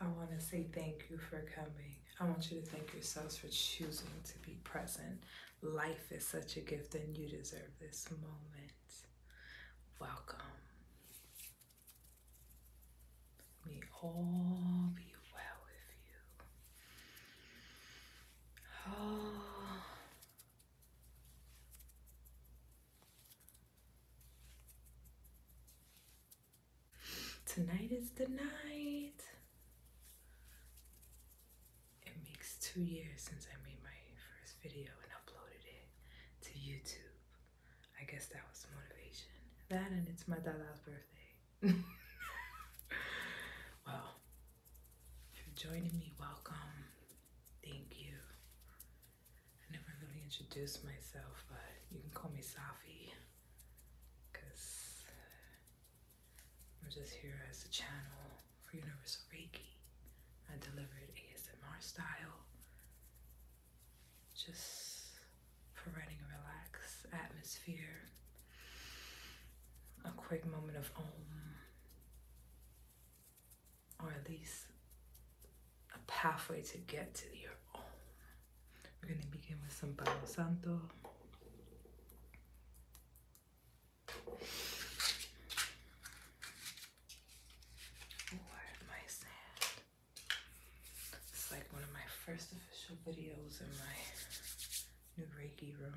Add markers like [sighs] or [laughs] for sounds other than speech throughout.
I want to say thank you for coming. I want you to thank yourselves for choosing to be present. Life is such a gift, and you deserve this moment. Welcome. May all be well with you. Oh. [sighs] Tonight is the night. It makes two years since I made my first video and uploaded it to YouTube. I guess that was motivation. That and it's my dad's birthday. [laughs] well, if you're joining me, welcome. Thank you. I never really introduced myself, but you can call me Safi because I'm just here as a channel for Universal Reiki. I deliver it ASMR style. Just providing a relaxed atmosphere, a quick moment of om, or at least a pathway to get to your om. We're going to begin with some Palo Santo. It's like one of my first official videos in my new Reiki room.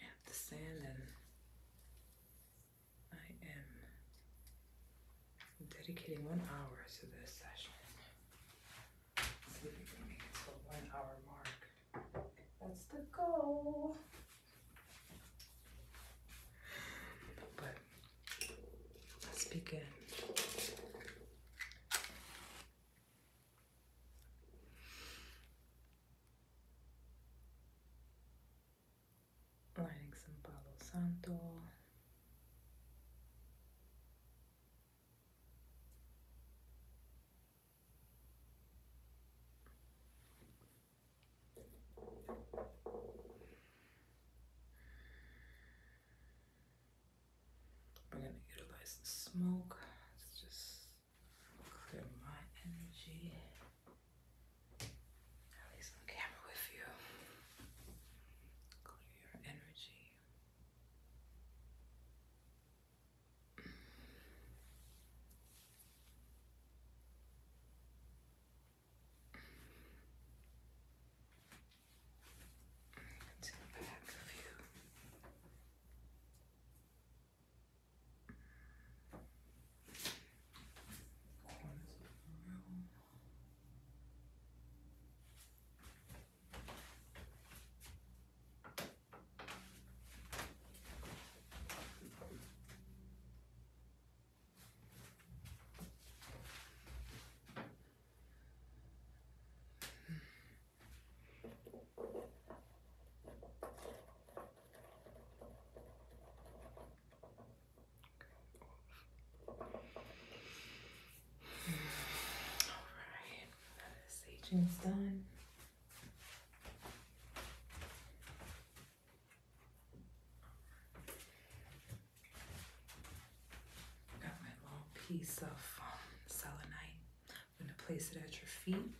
At the sand I am dedicating one hour to this session. See if we can make it to the one hour mark. That's the goal. But let's begin. Lighting some Palo Santo. We're going to utilize the smoke to just clear my energy. At least on camera with you. Clear your energy. It's the back of you. Corners of the room. Alright, now the done. I got my long piece of um, selenite. I'm gonna place it at your feet.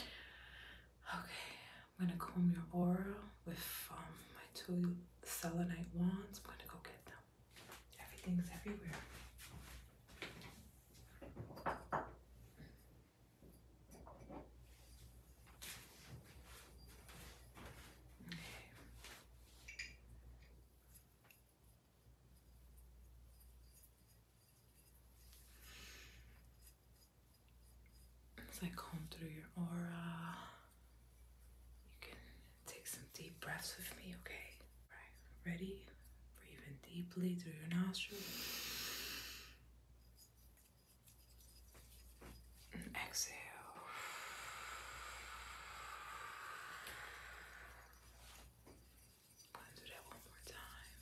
Okay, I'm gonna comb your aura with um, my two selenite wands. I'm gonna go get them. Everything's everywhere. Okay. As I comb through your aura, you can take some deep breaths with me, okay? ready? Breathing deeply through your nostrils exhale. Let's do that one more time.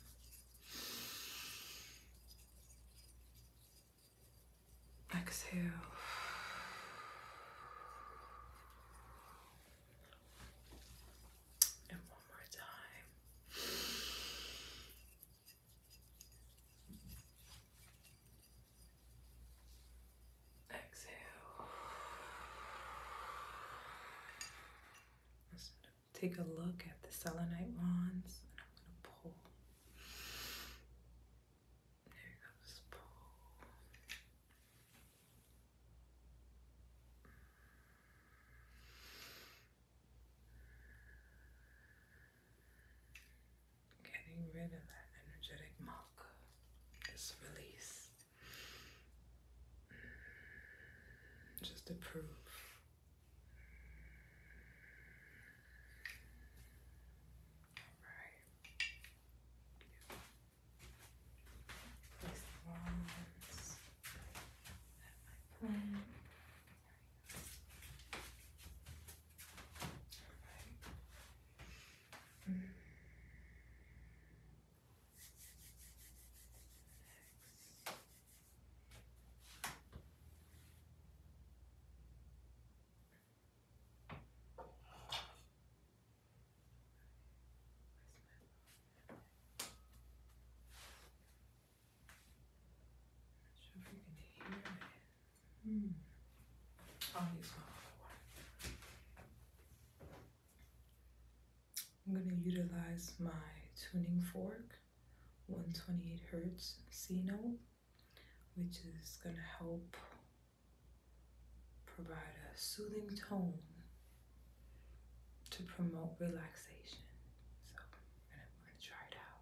Exhale. And one more time. Exhale. take a look at the selenite wands, I'm going to pull. There you pull. Getting rid of that energetic muck is release. Just approve. All right. Place the wands at my plane. All right. Mm. I'm not sure if you can hear it. Mm. I'll use one. I'm going to utilize my tuning fork, 128 hertz C note, which is going to help provide a soothing tone to promote relaxation. So I'm going to try it out.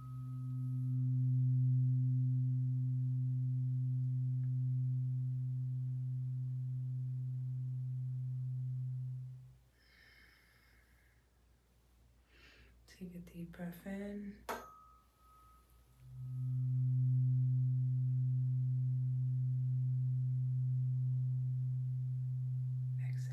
Take a deep breath in. Exhale.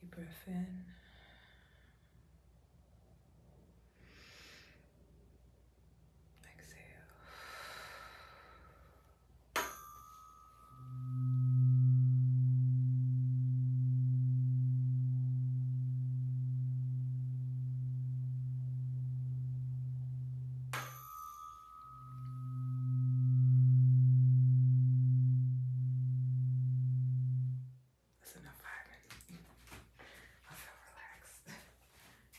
Deep breath in. Exhale. That's enough firing. I feel relaxed. [laughs]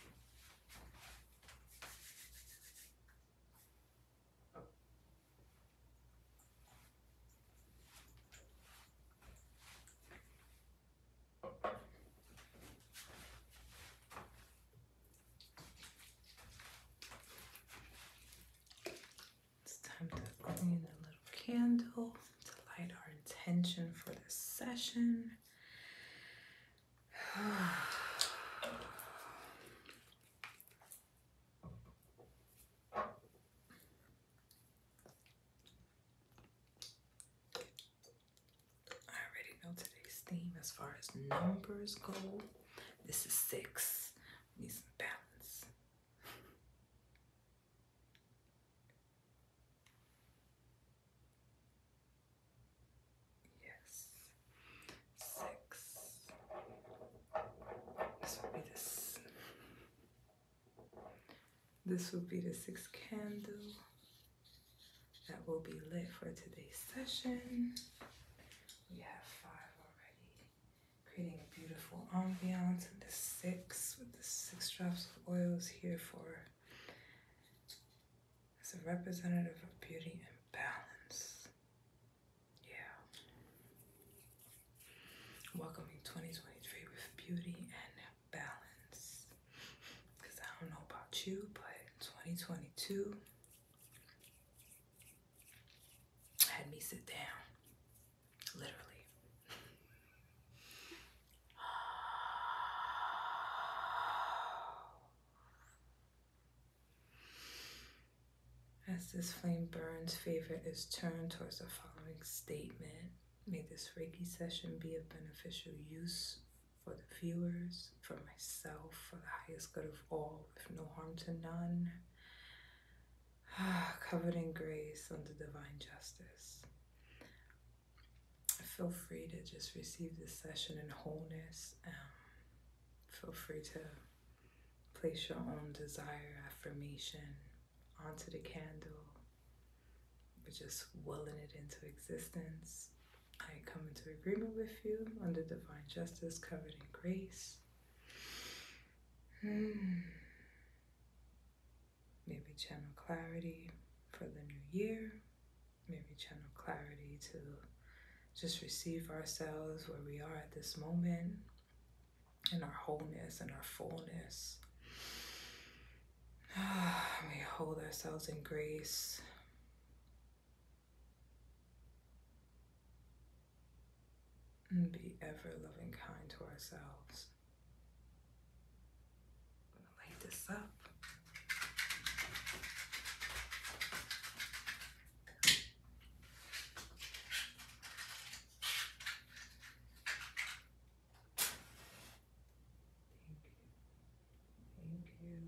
It's time to clean a little candle to light our intention for this session. I already know today's theme as far as numbers go. This is six. need some balance. Yes. Six. This will be this. This will be the sixth candle that will be lit for today's session. We have five already, creating a beautiful ambiance. And the six with the six drops of oils here for as a representative of beauty and balance. Yeah. Welcoming 2023 with beauty and balance. Because I don't know about you, but 2022 had me sit down. Literally. As this flame burns, favor is turned towards the following statement. May this Reiki session be of beneficial use for the viewers, for myself, for the highest good of all, with no harm to none. [sighs] Covered in grace under divine justice. Feel free to just receive this session in wholeness. Um, Feel free to place your own desire affirmation onto the candle. we just willing it into existence. I come into agreement with you under divine justice, covered in grace. Hmm. Maybe channel clarity for the new year maybe channel clarity to just receive ourselves where we are at this moment in our wholeness and our fullness. [sighs] we hold ourselves in grace. And be ever loving kind to ourselves. gonna light this up you and thank you. Yeah.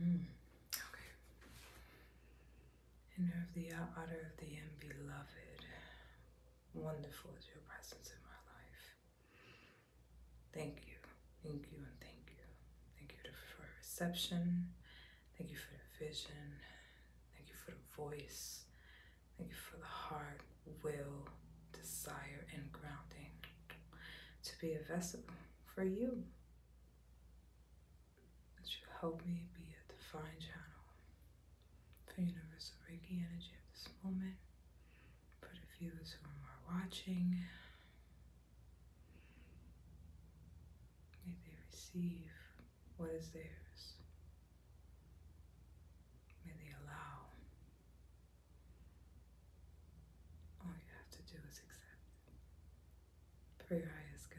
mm, okay. Inner of the outer of the end, beloved. Wonderful is your presence in my life. Thank you, thank you, and thank you. Thank you for reception. Thank you for the vision. Thank you for the voice. Thank you for the heart, will, desire, and grounding to be a vessel for you. That you help me be a divine channel for universal Reiki energy of this moment, for the viewers who are watching, May they receive what is theirs. May they allow. All you have to do is accept. Prayer is good.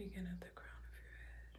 I begin at the crown of your head.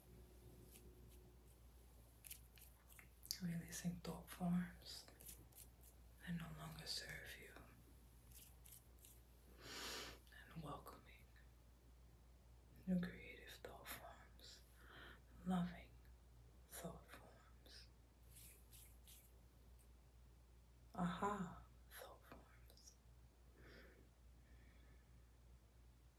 Releasing thought forms that no longer serve you and welcoming new creative thought forms, loving thought forms, aha thought forms.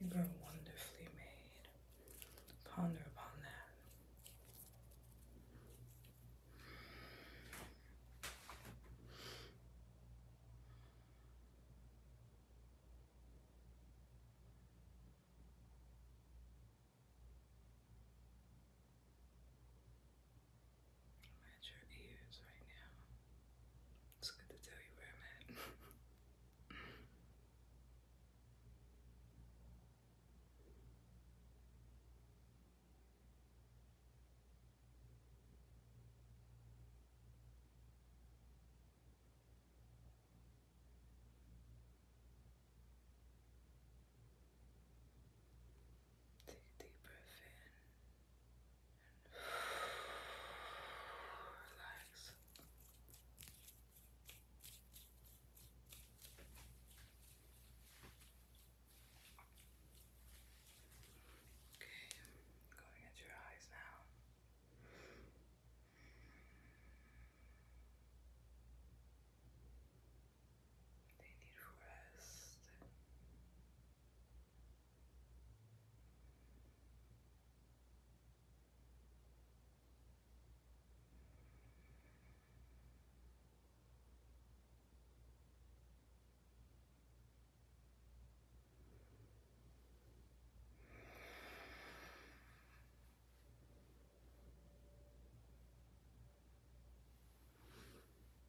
You were wonderfully made. Ponder upon that at your ears right now. It's good to tell you where I'm at. Take a deep breath in and relax. Okay, going at your eyes now. They need rest.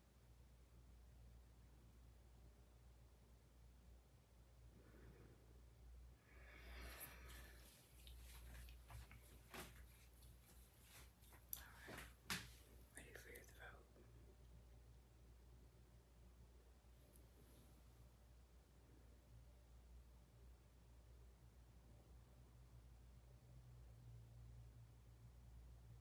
Alright, ready for your throat.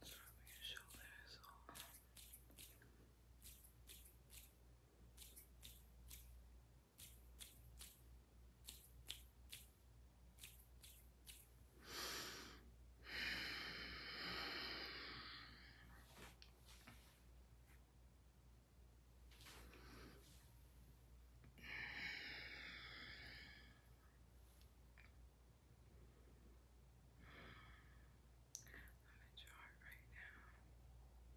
It's from your shoulders on. I'm in jar right now. All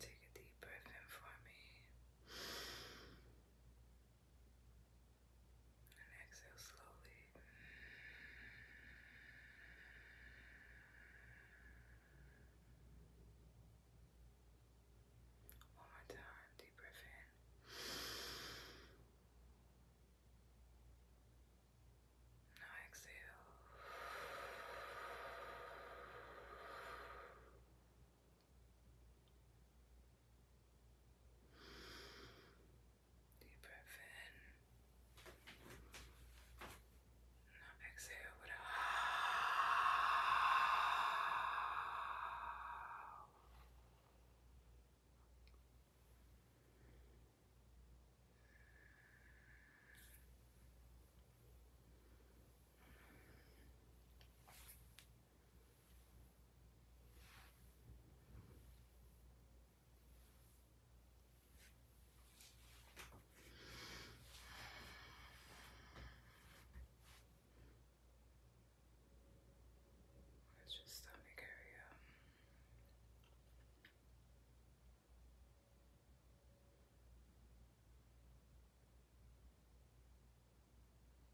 Take a deep breath in for me and exhale slowly. One more time, deep breath in. Now exhale. Deep breath in. Now exhale with a it's just stomach area. Okay.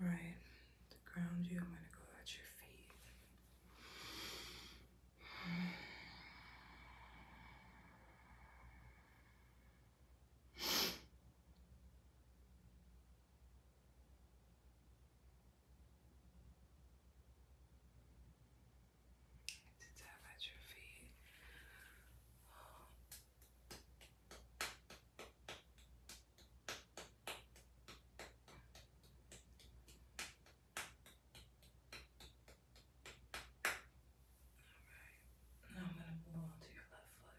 All right, to ground you, I'm going to go at your feet. To tap at your feet. Alright, now I'm going to move on to your left foot.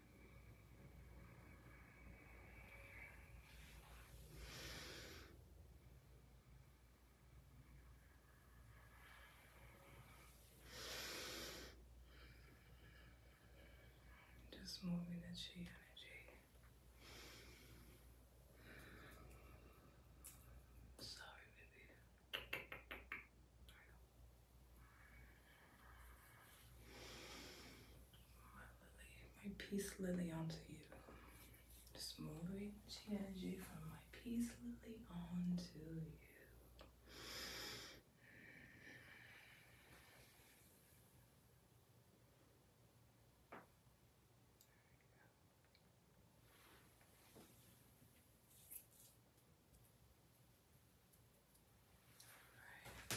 Just moving the chi energy sorry baby my peace lily onto you. Just moving the energy from my peace lily onto you. Right.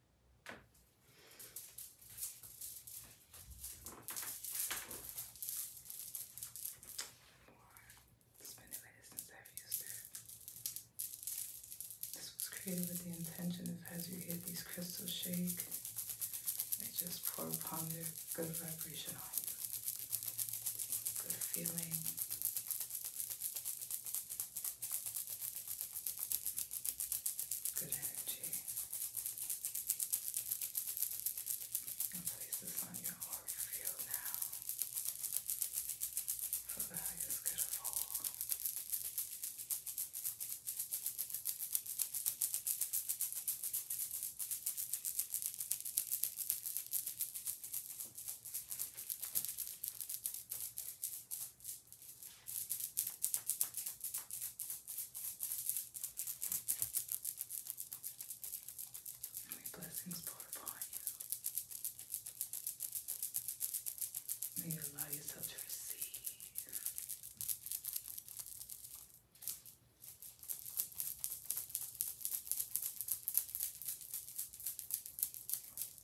It's been a minute since I've used it. This was created with the intention of as you hit these crystals shake, they just pour upon their good vibration on you. Good feeling. Good energy. And place this on your aura field now. For the highest good of all. Good. May blessings pour upon you. May you allow yourself to receive.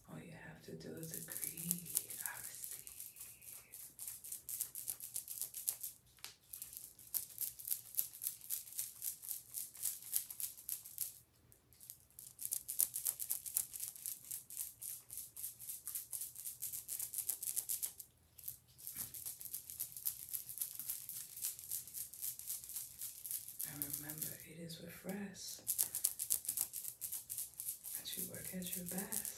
All you have to do is agree. I receive. And remember, it is with rest as you work at your best.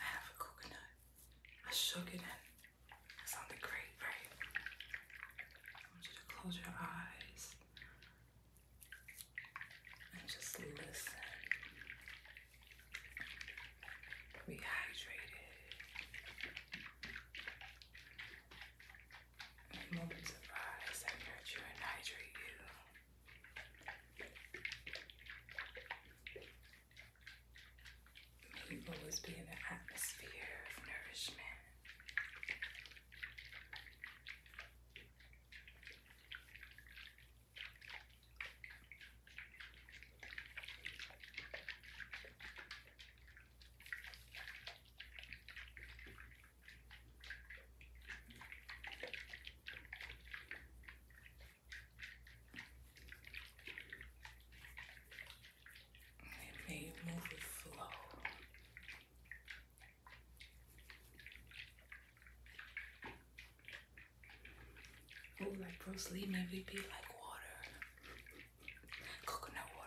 I have a coconut. I shook it in. That sounded great, right? I want you to close your eyes and just listen. Be Moments of nurture and hydrate you. always be an atmosphere of nourishment. It made movie Oh, like Bruce Lee movie be like water coconut water.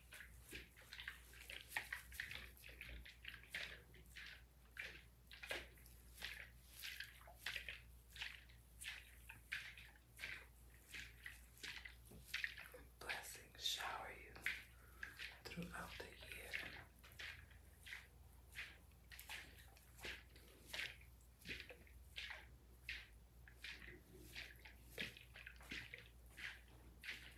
Blessings shower you throughout the year.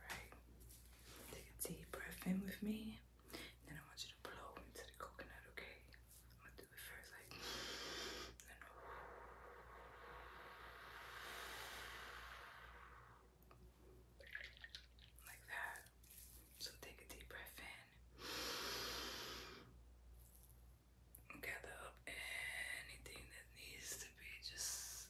Right. Take a deep breath in with me. Then I want you to blow into the coconut, okay? I'm gonna do it first, like [sniffs] like that. So take a deep breath in. Gather up anything that needs to be just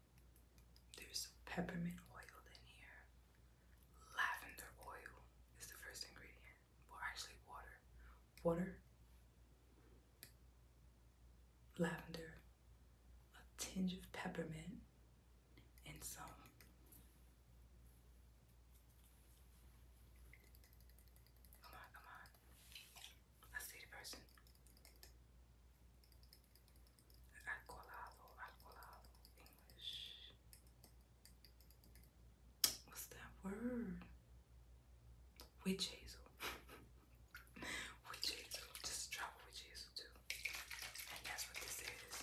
There's peppermint oil in here. Lavender oil is the first ingredient. Well, actually, water. Water, lavender, a tinge of peppermint, and some come on, come on. I see person. Alcoholado, alcoholado, English. What's that word? Witch hazel. [laughs] witch hazel. Just drop witch hazel too. And that's what this is.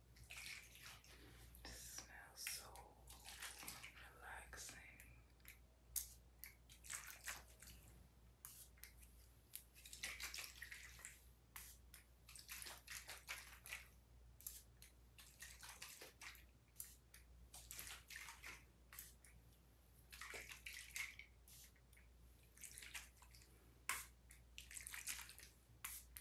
This smells so relaxing.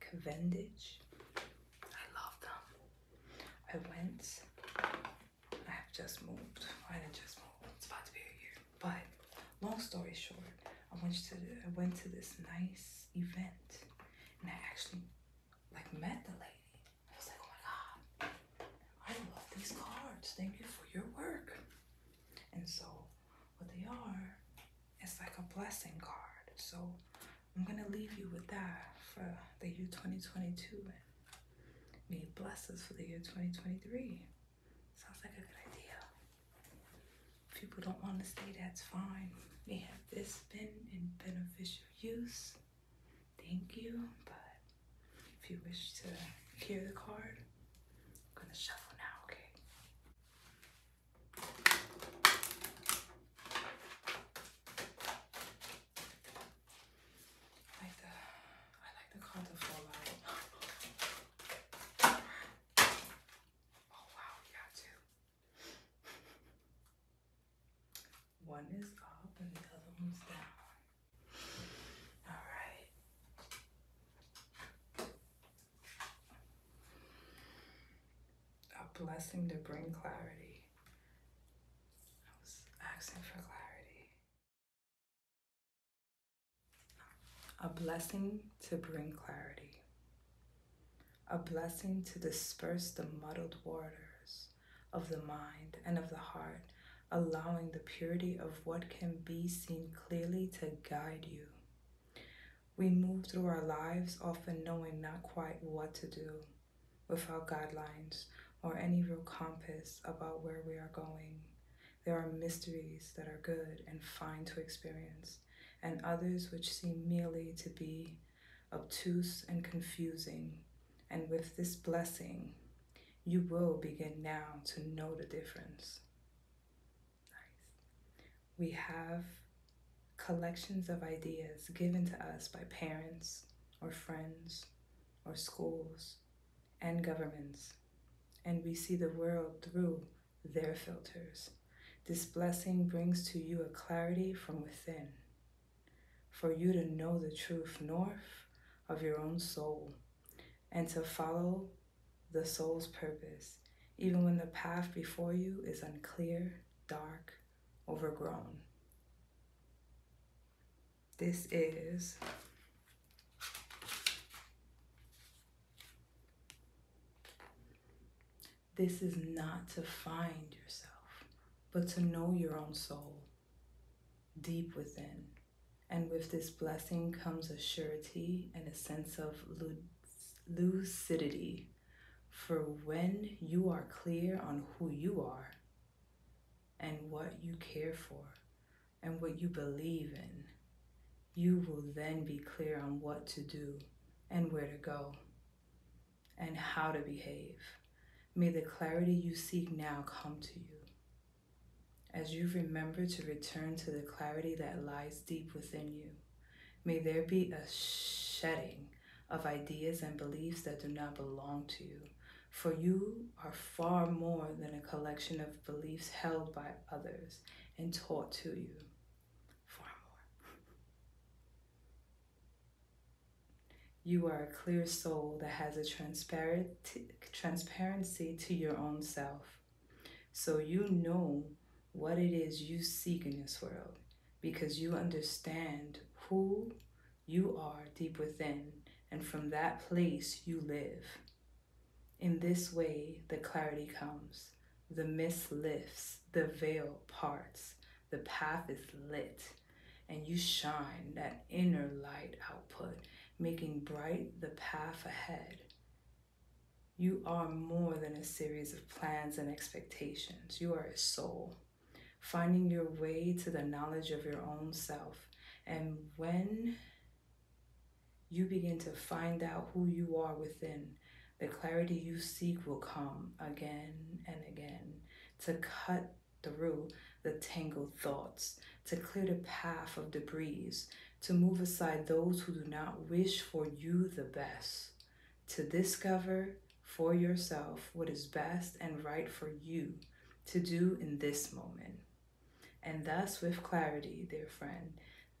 Kavendish, I love them. I went, I have just moved. I did just moved. it's about to be a year. But long story short, I went to I went to this nice event and I actually like met the lady. I was like, oh my god, I love these cards. Thank you for your work. And so what they are, it's like a blessing card. So I'm gonna leave you with that for the year 2022 may bless us for the year 2023. Sounds like a good idea. people don't want to stay, that's fine. May have this been in beneficial use. Thank you, but if you wish to hear the card, I'm gonna shuffle now, okay? I like the I like the colorful light. Oh wow, yeah too. One is up and the other one's down. All right. A blessing to bring clarity. I was asking for clarity. A blessing to bring clarity. A blessing to disperse the muddled waters of the mind and of the heart, allowing the purity of what can be seen clearly to guide you. We move through our lives often knowing not quite what to do, without guidelines or any real compass about where we are going. There are mysteries that are good and fine to experience, and others which seem merely to be obtuse and confusing. And with this blessing, you will begin now to know the difference. We have collections of ideas given to us by parents or friends or schools and governments, and we see the world through their filters. This blessing brings to you a clarity from within for you to know the truth north of your own soul and to follow the soul's purpose, even when the path before you is unclear, dark, overgrown. This is This is not to find yourself, but to know your own soul deep within. And with this blessing comes a surety and a sense of lucidity for when you are clear on who you are and what you care for and what you believe in, you will then be clear on what to do and where to go and how to behave. May the clarity you seek now come to you. As you remember to return to the clarity that lies deep within you. May there be a shedding of ideas and beliefs that do not belong to you, for you are far more than a collection of beliefs held by others and taught to you. Far more. you are a clear soul that has a transparent transparency to your own self. So you know what it is you seek in this world because you understand who you are deep within, and from that place you live. In this way, the clarity comes, the mist lifts, the veil parts, the path is lit, and you shine that inner light output, making bright the path ahead. You are more than a series of plans and expectations. You are a soul, finding your way to the knowledge of your own self. And when you begin to find out who you are within, the clarity you seek will come again and again to cut through the tangled thoughts, to clear the path of debris, to move aside those who do not wish for you the best, to discover for yourself what is best and right for you to do in this moment. And thus, with clarity, dear friend,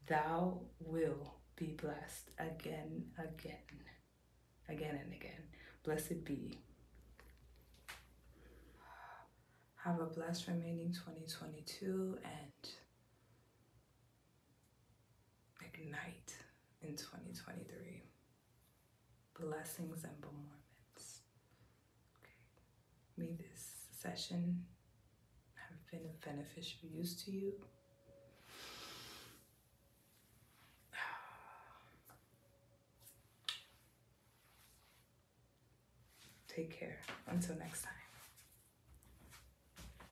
thou will be blessed again, again, again, and again. Blessed be. Have a blessed remaining 2022 and ignite in 2023. Blessings and bemourments. May this session have been of beneficial use to you. [sighs] Take care. Until next time.